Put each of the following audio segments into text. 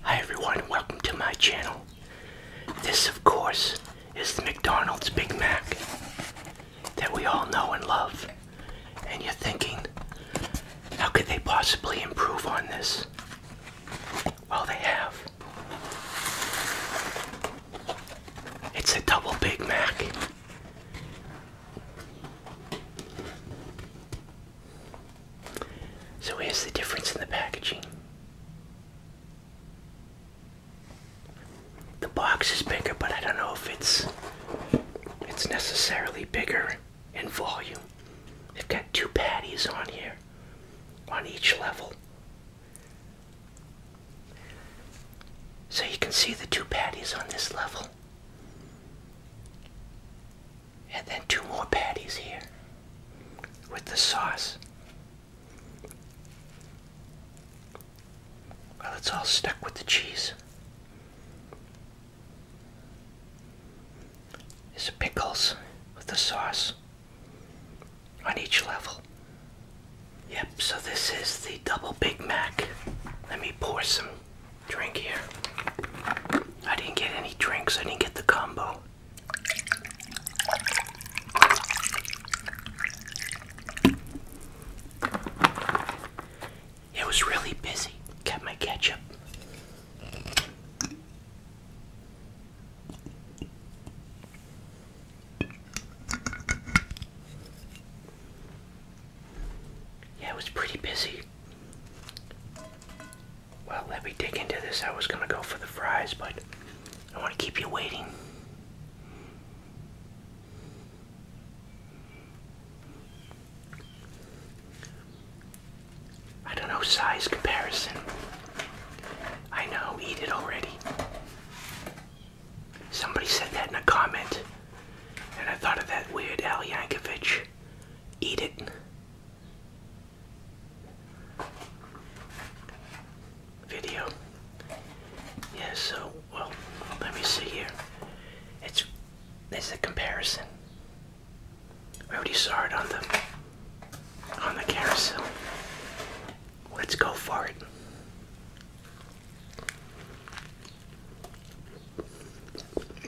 Hi everyone, welcome to my channel. This, of course, is the McDonald's Big Mac that we all know and love. And you're thinking, how could they possibly improve on this? Well, they have. It's a double Big Mac. So here's the difference in the packaging. The box is bigger, but I don't know if it's it's necessarily bigger in volume. They've got two patties on here on each level. So you can see the two patties on this level. And then two more patties here with the sauce. Well, it's all stuck with the cheese. There's pickles with the sauce on each level. Yep, so this is the double Big Mac. Let me pour some drink here. I didn't get any drinks, I didn't get the combo. It was really busy. Got my ketchup. Yeah, it was pretty busy. Well, let me dig into this. I was gonna go for the fries, but I want to keep you waiting. I don't know size comparison. I know, eat it already. Somebody said that in a comment, and I thought of that weird Al Yankovic Eat it. Video. Yeah, so, well, let me see here. It's, it's a comparison. I already saw it on the, on the carousel. Let's go for it.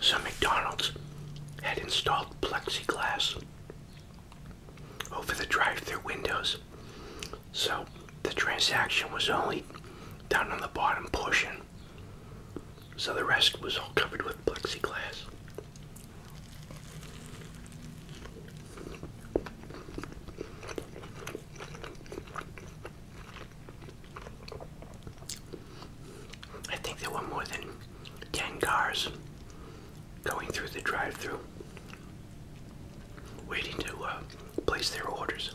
Some McDonald's had installed plexiglass over the drive-through windows, so the transaction was only down on the bottom portion, so the rest was all covered with plexiglass. I think there were more than 10 cars going through the drive through waiting to uh, place their orders.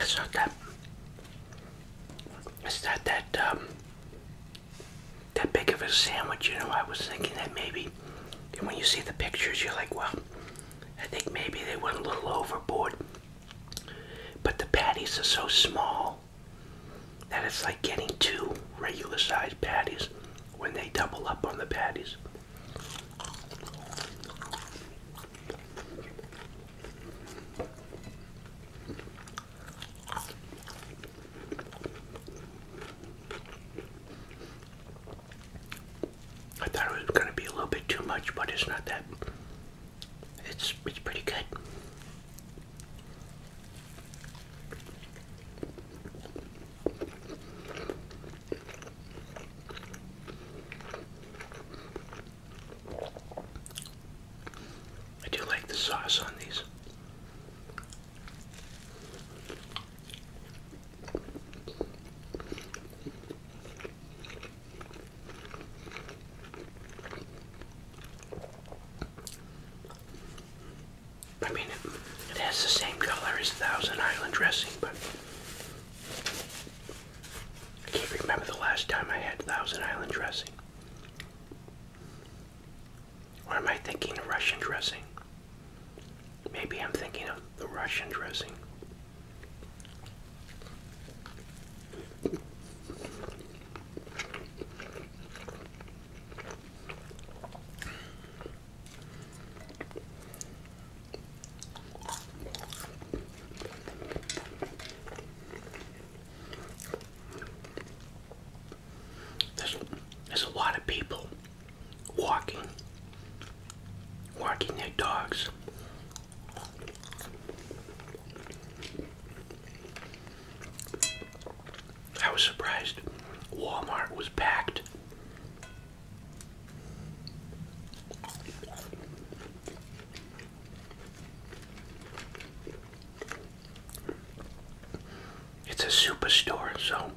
It's not that. It's not that um, that big of a sandwich, you know. I was thinking that maybe, and when you see the pictures, you're like, well, I think maybe they went a little overboard. But the patties are so small that it's like getting two regular sized patties when they double up on the patties. I thought it was going to be a little bit too much, but it's not that. It's it's pretty good. I do like the sauce on these. I mean, it, has the same color as Thousand Island dressing, but I can't remember the last time I had Thousand Island dressing. Or am I thinking of Russian dressing? Maybe I'm thinking of the Russian dressing. There's, there's a lot of people walking, walking their dogs I was surprised Walmart was packed. It's a superstore, so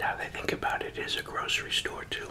now they think about it, as a grocery store too.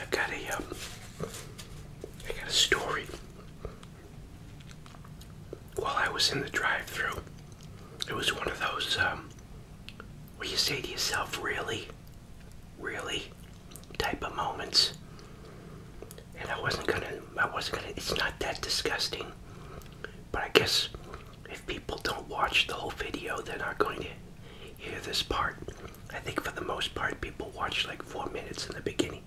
I've got a um, I got a story. While I was in the drive-through, it was one of those um, where you say to yourself, "Really, really." type of moments. And I wasn't gonna, I wasn't gonna, it's not that disgusting. But I guess if people don't watch the whole video, they're not going to hear this part. I think for the most part, people watch like four minutes in the beginning.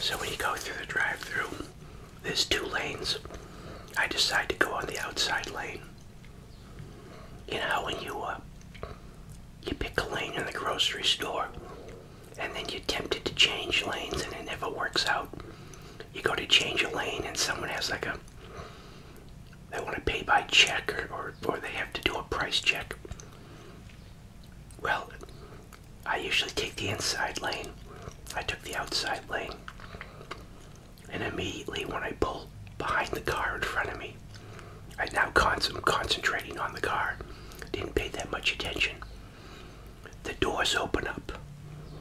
So when you go through the drive-through, there's two lanes. I decide to go on the outside lane. You know when you uh, you pick a lane in the grocery store, and then you're tempted to change lanes, and it never works out. You go to change a lane, and someone has like a they want to pay by check, or, or or they have to do a price check. Well, I usually take the inside lane. I took the outside lane. And immediately when I pull behind the car in front of me, I now con i concentrating on the car. Didn't pay that much attention. The doors open up,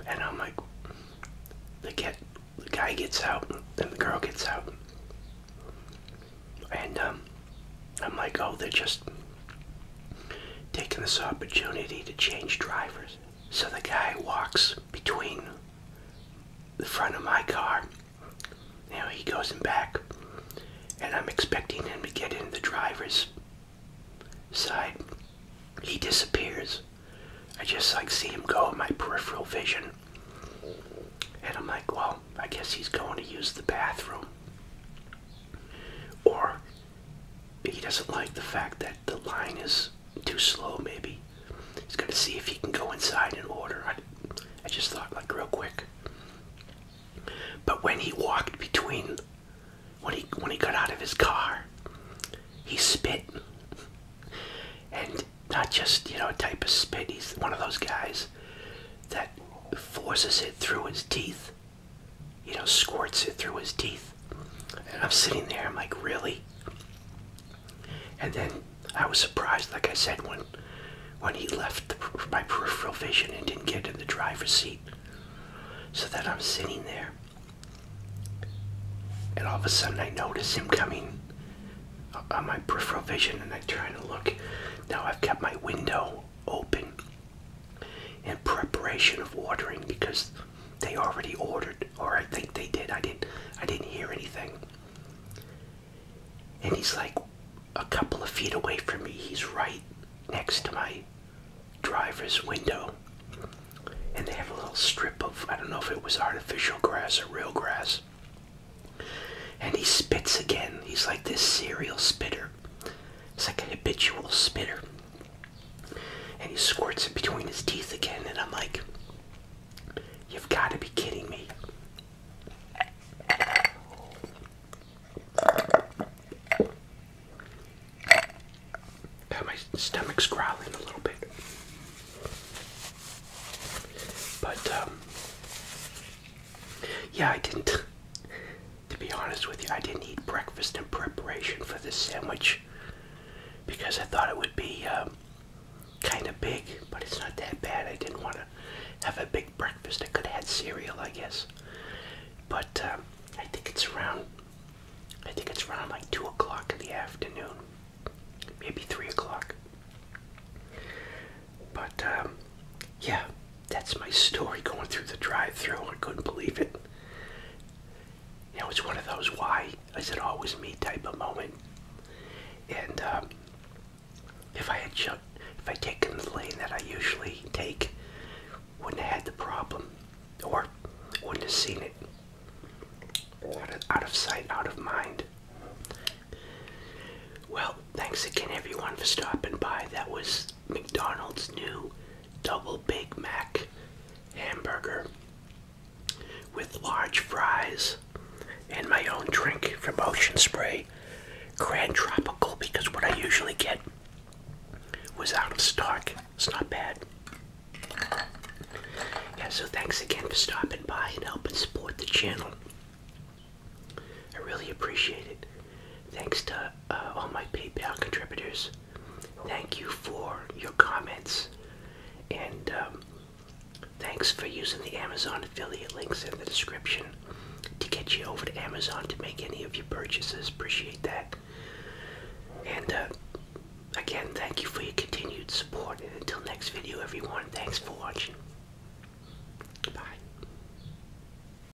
and I'm like, the, the guy gets out, and the girl gets out. And um, I'm like, oh, they're just taking this opportunity to change drivers. So the guy walks between the front of my car. You he goes in back, and I'm expecting him to get in the driver's side. He disappears. I just like see him go in my peripheral vision. And I'm like, well, I guess he's going to use the bathroom. Or he doesn't like the fact that the line is too slow, maybe. He's going to see if he can go inside and order. I, just thought, like, real quick. But when he walked between, when he, when he got out of his car, he spit. And not just, you know, a type of spit. He's one of those guys that forces it through his teeth you know, squirts it through his teeth. And I'm sitting there, I'm like, really? And then I was surprised, like I said, when when he left my peripheral vision and didn't get in the driver's seat. So that I'm sitting there. And all of a sudden I notice him coming on my peripheral vision and I try to look. Now I've kept my window open in preparation of ordering because they already ordered or I think they did. I didn't I didn't hear anything. And he's like a couple of feet away from me. He's right next to my driver's window. And they have a little strip of I don't know if it was artificial grass or real grass. And he spits again. He's like this cereal spitter. It's like an habitual spinner. And he squirts it between his teeth again, and I'm like, you've got to be kidding me. God, my stomach's growling a little bit. But, um, yeah, I didn't to be honest with you, I didn't eat breakfast in preparation for this sandwich because I thought it would be um, kind of big, but it's not that bad. I didn't want to have a big breakfast. I could have had cereal, I guess. But um, I think it's around, I think it's around like 2 o'clock in the afternoon, maybe 3 o'clock. But um, yeah, that's my story going through the drive-through. I couldn't believe it. You know, it's one of those why is it always me type of moment. And uh, if I had if I taken the lane that I usually take, wouldn't have had the problem, or wouldn't have seen it. out of sight, out of mind. Well, thanks again, everyone, for stopping by. That was McDonald's new double Big Mac hamburger with large fries and my own drink from Ocean Spray Grand Tropical because what I usually get was out of stock. It's not bad. Yeah, so thanks again for stopping by and helping support the channel. I really appreciate it. Thanks to uh, all my PayPal contributors. Thank you for your comments. And um, thanks for using the Amazon affiliate links in the description to get you over to Amazon to make any of your purchases. Appreciate that. And uh, again, thank you for your continued support. And until next video, everyone, thanks for watching. Bye.